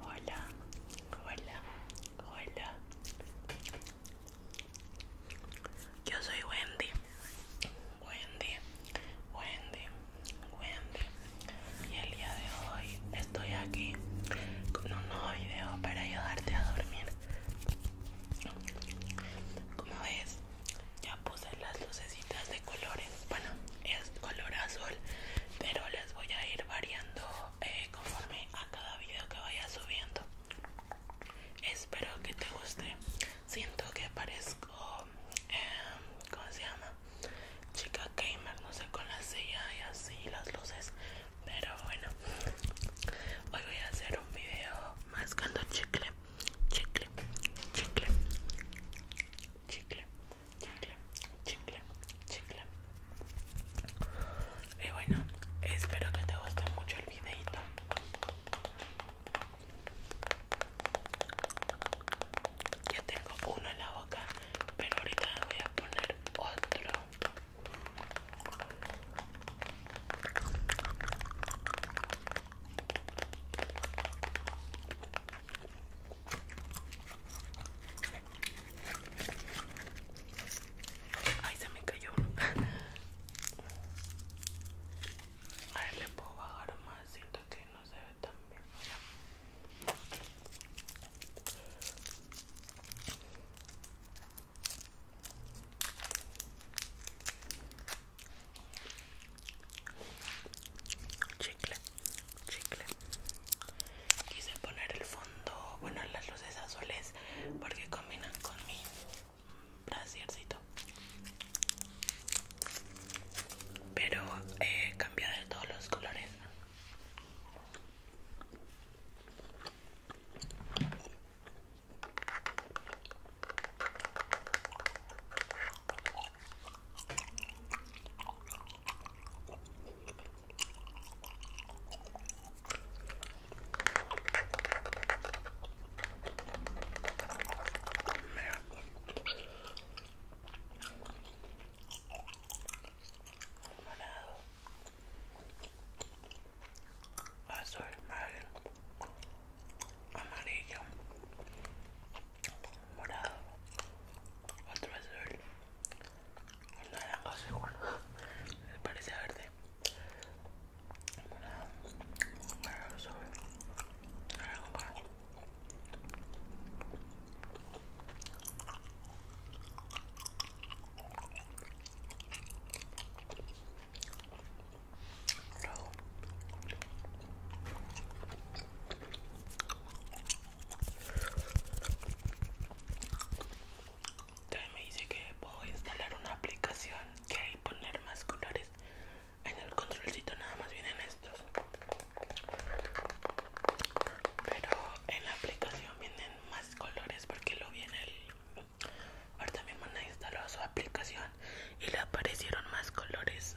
Hola, hola, hola. Yo soy Wendy. Wendy, Wendy, Wendy. Y el día de hoy estoy aquí con un nuevo video para ayudarte a dormir. Como ves, ya puse las lucecitas de colores bueno es color azul pero las voy a ir variando eh, conforme a cada video que vaya subiendo espero que te guste siento que parezco em, ¿cómo se llama? chica gamer no sé con la silla y así las luces pero bueno hoy voy a hacer un video mascando chicle chicle chicle chicle, chicle, chicle, chicle. Y bueno, espero que te guste mucho el videito. Ya tengo uno en la boca, pero ahorita voy a poner otro. Ay, se me cayó uno. A ver, le puedo bajar más. Siento que no se ve tan bien chicle chicle quise poner el fondo bueno las luces azules porque combinan con mi braciercito pero he eh, cambiado de todos los colores Mira. Vas a del madre amarillo, morado, otro azul, seguro, parece verde, morado, azul, también me dice que puedo instalar una aplicación que hay poner más colores en el controlcito, nada más vienen estos. Pero en la aplicación vienen más colores porque lo viene el... Ahora también van a instalar su aplicación y le aparecieron más colores.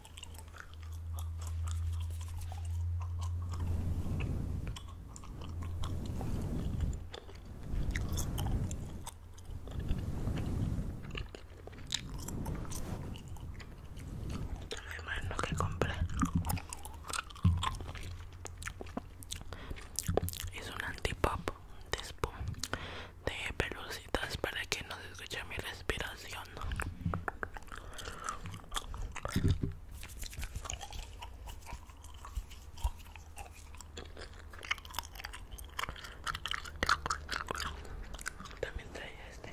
Me imagino que compré es un antipop de Spoon de pelucitas para que no se escuche mi respiración. También trae este.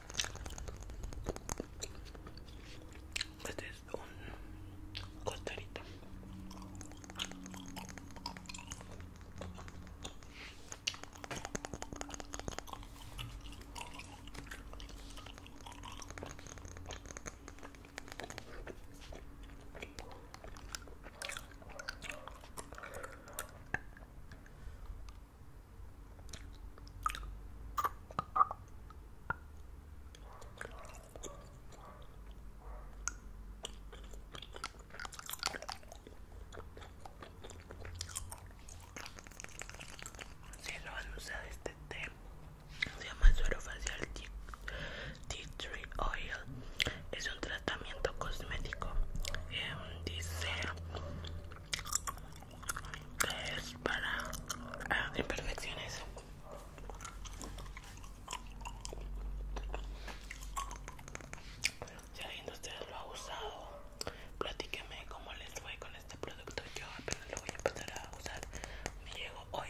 Este es un costarito. Si lo van a usar este té, se llama suero facial tea, tree oil. Es un tratamiento cosmético. Em, dice es para ah, imperfecciones si alguien de ustedes lo ha usado platíqueme cómo les fue con este producto yo apenas lo voy a empezar a usar me hoy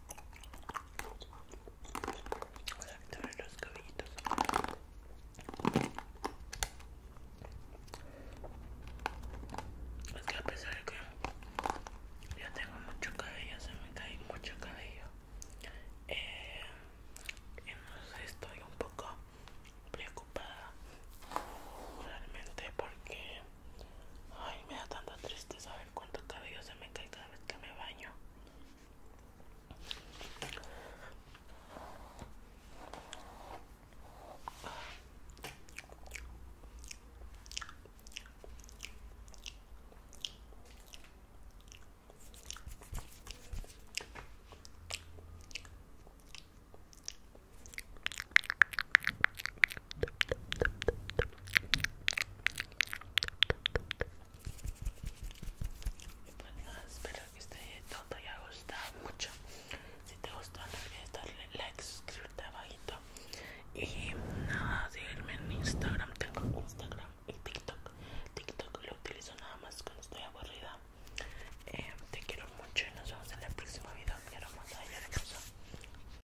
Voy a los cabellitos. Es que a pesar de que ya tengo mucho cabello, se me cae mucho cabello. Eh, no sé, estoy un poco preocupada realmente porque Ay, me da tanta tristeza ver cuánto cabello se me cae cada vez que me baño. Bueno, espero que este video te haya gustado mucho. Si te gustó, no olvides darle like, suscribirte abajito. Y nada, seguirme en Instagram. Tengo Instagram y TikTok. TikTok lo utilizo nada más cuando estoy aburrida. Eh, te quiero mucho y nos vemos en el próximo video. Mi hermosa la cosa